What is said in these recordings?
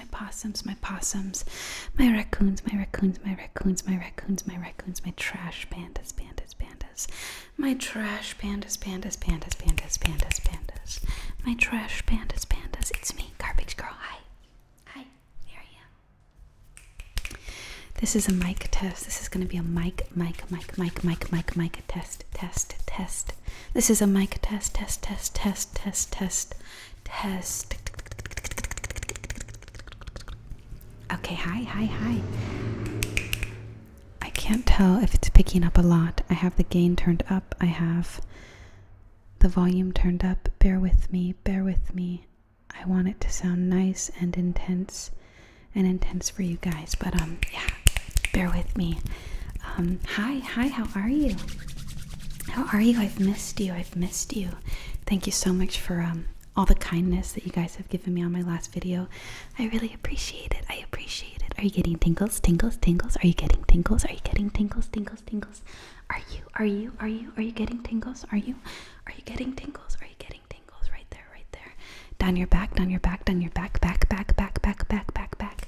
my possums, my possums, my raccoons, my raccoons, my raccoons, my raccoons, my raccoons, my trash pandas, pandas, pandas, my trash pandas, pandas, pandas, pandas, pandas, pandas, my trash pandas, pandas. It's me, garbage girl. Hi, hi. There I am. This is a mic test. This is going to be a mic, mic, mic, mic, mic, mic, mic test, test, test, this is a mic test, test, test, test, test, test, test. Okay, hi, hi, hi. I can't tell if it's picking up a lot. I have the gain turned up, I have the volume turned up. Bear with me, bear with me. I want it to sound nice and intense and intense for you guys, but um, yeah bear with me. Um, hi, hi, how are you? How are you? I've missed you. I've missed you. Thank you so much for um, all the kindness that you guys have given me on my last video. I really appreciate it. I appreciate it. Are you getting tingles? Tingles? Tingles? Are you getting tingles? Are you getting tingles? Tingles? Tingles? Are you? Are you? Are you? Are you getting tingles? Are you? Are you getting tingles? Are you getting tingles? Right there, right there. Down your back, down your back, down your back, back, back, back, back, back, back, back.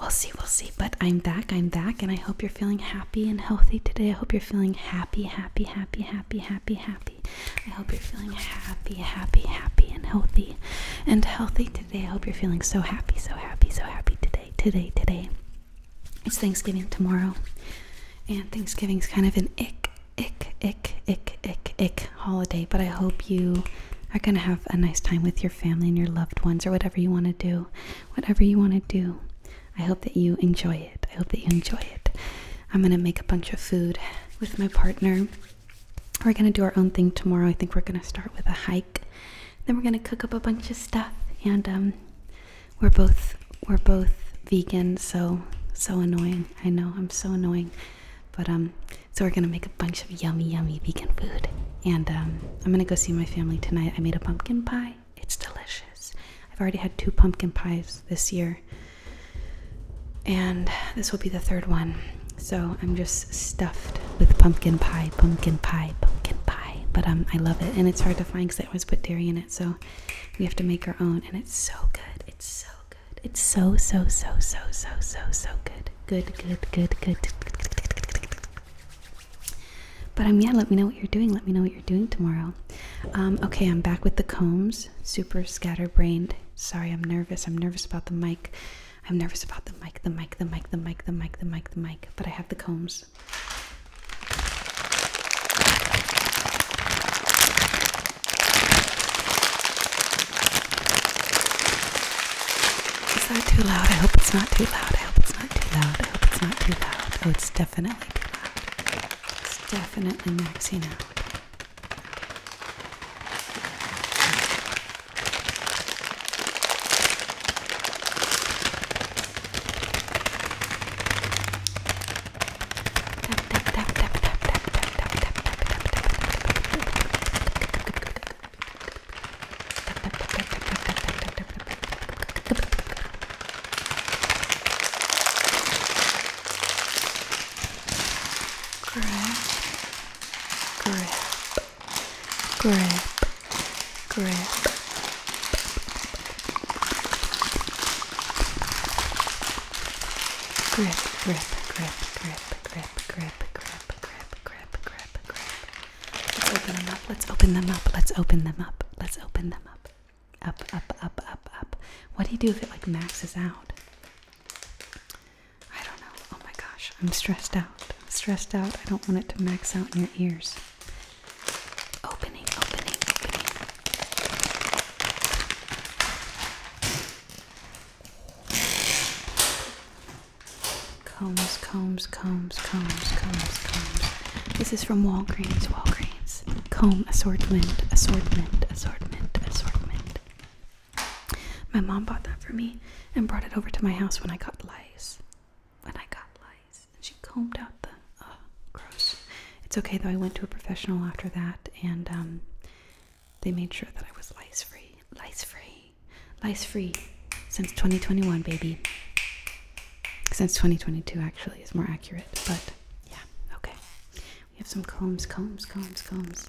We'll see, we'll see. But I'm back, I'm back, and I hope you're feeling happy and healthy today. I hope you're feeling happy, happy, happy, happy, happy, happy. I hope you're feeling happy, happy, happy, and healthy and healthy today. I hope you're feeling so happy, so happy, so happy today, today, today. It's Thanksgiving tomorrow, and Thanksgiving's kind of an ick, ick, ick, ick, ick, ick holiday, but I hope you are going to have a nice time with your family and your loved ones or whatever you want to do. Whatever you want to do, I hope that you enjoy it. I hope that you enjoy it. I'm going to make a bunch of food with my partner. We're going to do our own thing tomorrow. I think we're going to start with a hike. Then we're going to cook up a bunch of stuff and um, we're both we're both vegan, so so annoying. I know I'm so annoying. But um, so we're gonna make a bunch of yummy, yummy vegan food, and um, I'm gonna go see my family tonight. I made a pumpkin pie. It's delicious. I've already had two pumpkin pies this year, and this will be the third one. So I'm just stuffed with pumpkin pie, pumpkin pie, pumpkin pie. But um, I love it, and it's hard to find because I always put dairy in it. So we have to make our own, and it's so good. It's so good. It's so so so so so so so good good, good, good, good, good. But um, yeah, let me know what you're doing. Let me know what you're doing tomorrow. Um, okay, I'm back with the combs. Super scatterbrained. Sorry, I'm nervous. I'm nervous about the mic. I'm nervous about the mic, the mic, the mic, the mic, the mic, the mic, the mic. But I have the combs. Is that too loud? I hope it's not too loud. I hope it's not too loud. I hope it's not too loud. Oh, it's definitely too loud. It's definitely maxing out grip, grip. Grip, grip, grip, grip, grip, grip, grip. Let's open them up. Let's open them up. Let's open them up. Let's open them up. Up, up, up, up, up. What do you do if it like maxes out? I don't know. Oh my gosh, I'm stressed out. I'm stressed out. I don't want it to max out in your ears. Opening, opening, opening. Combs, combs, combs, combs, combs, combs. This is from Walgreens, Walgreens. Comb assortment, assortment, assortment, assortment. My mom bought that for me and brought it over to my house when I got lice. When I got lice. And she combed out the. Oh, gross. It's okay though, I went to a professional after that and um, they made sure that I was lice free. Lice free. Lice free since 2021, baby. Since 2022, actually, is more accurate. But yeah, okay. We have some combs, combs, combs, combs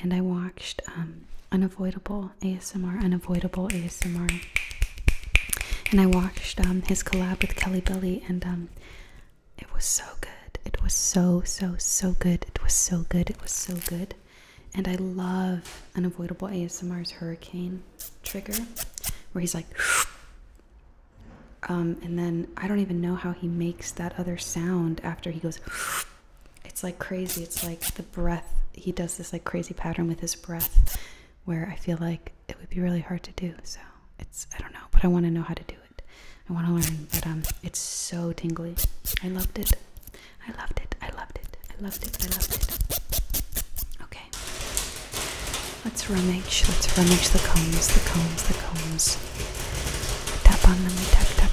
and I watched um, Unavoidable ASMR, Unavoidable ASMR, and I watched um, his collab with Kelly Belly, and um, it was so good. It was so, so, so good. It was so good. It was so good. And I love Unavoidable ASMR's Hurricane trigger, where he's like, um, and then I don't even know how he makes that other sound after he goes. It's like crazy. It's like the breath. He does this like crazy pattern with his breath where I feel like it would be really hard to do. So it's, I don't know, but I want to know how to do it. I want to learn, but um, it's so tingly. I loved it. I loved it. I loved it. I loved it. I loved it. Okay. Let's rummage. Let's rummage the combs, the combs, the combs. Tap on them. Tap, tap,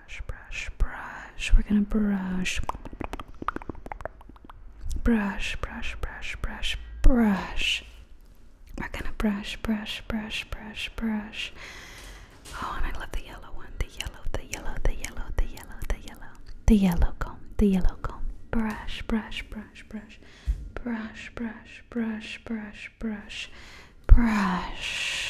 brush, brush, brush. We're gonna brush. Brush, brush, brush, brush, brush. We're gonna brush, brush, brush, brush, brush. Oh, and I love the yellow one. The yellow, the yellow, the yellow, the yellow, the yellow. The yellow comb, the yellow comb. Brush, brush, brush, brush. Brush, brush, brush, brush, brush. Brush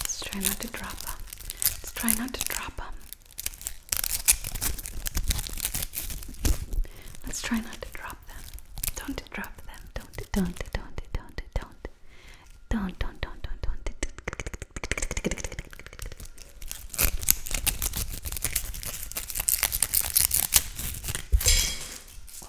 Let's try not to drop them. Let's try not to drop them. Let's try not to drop them. Don't drop them. Don't, don't, don't, don't, don't. Don't, don't, don't, don't, don't. Oh,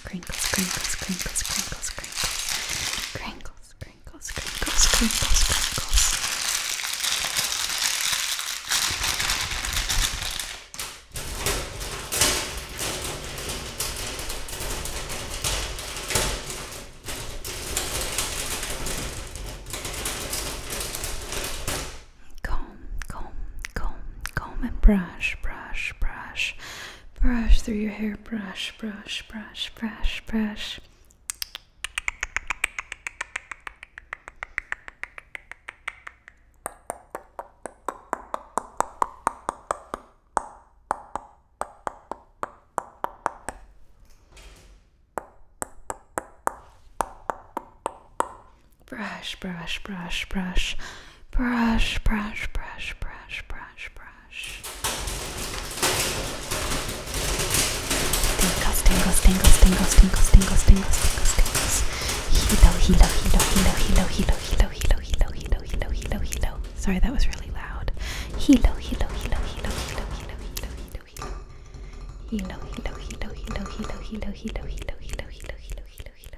crinkles, crinkles, crinkles, crinkles, crinkles, crinkles, crinkles, crinkles, crinkles, crinkles. Comb, comb, comb, comb, and brush, brush, brush. Brush through your hair. Brush, brush, brush, brush, brush. Brush, brush, brush, brush brush, brush, brush, brush, brush, brush. Tingles, tingles, tingles, tingles, tingles, tingles, tingles, tingles, tingles. Hilo, hilo, hilo, hilo, hilo, hilo, hilo, hilo, hilo, hilo, hilo, hilo, hilo. Sorry, that was really loud. Hilo, hilo, hilo, hilo, hilo, hilo, hilo, hilo, hilo. Hilo, hilo, hilo, hilo, hilo, hilo, hilo, hilo, hilo, hilo, hilo, hilo, hilo, hilo,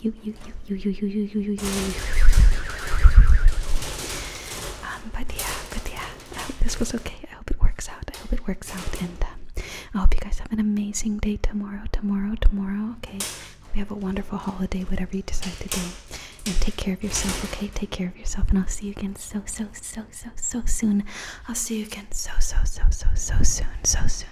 you, you, you, you, you, you, you, you, you, Um, but yeah, but yeah, I um, hope this was okay. I hope it works out. I hope it works out. And um, I hope you guys have an amazing day tomorrow, tomorrow, tomorrow. Okay. We have a wonderful holiday, whatever you decide to do. And take care of yourself, okay? Take care of yourself, and I'll see you again so, so, so, so, so soon. I'll see you again so, so, so, so, so soon, so soon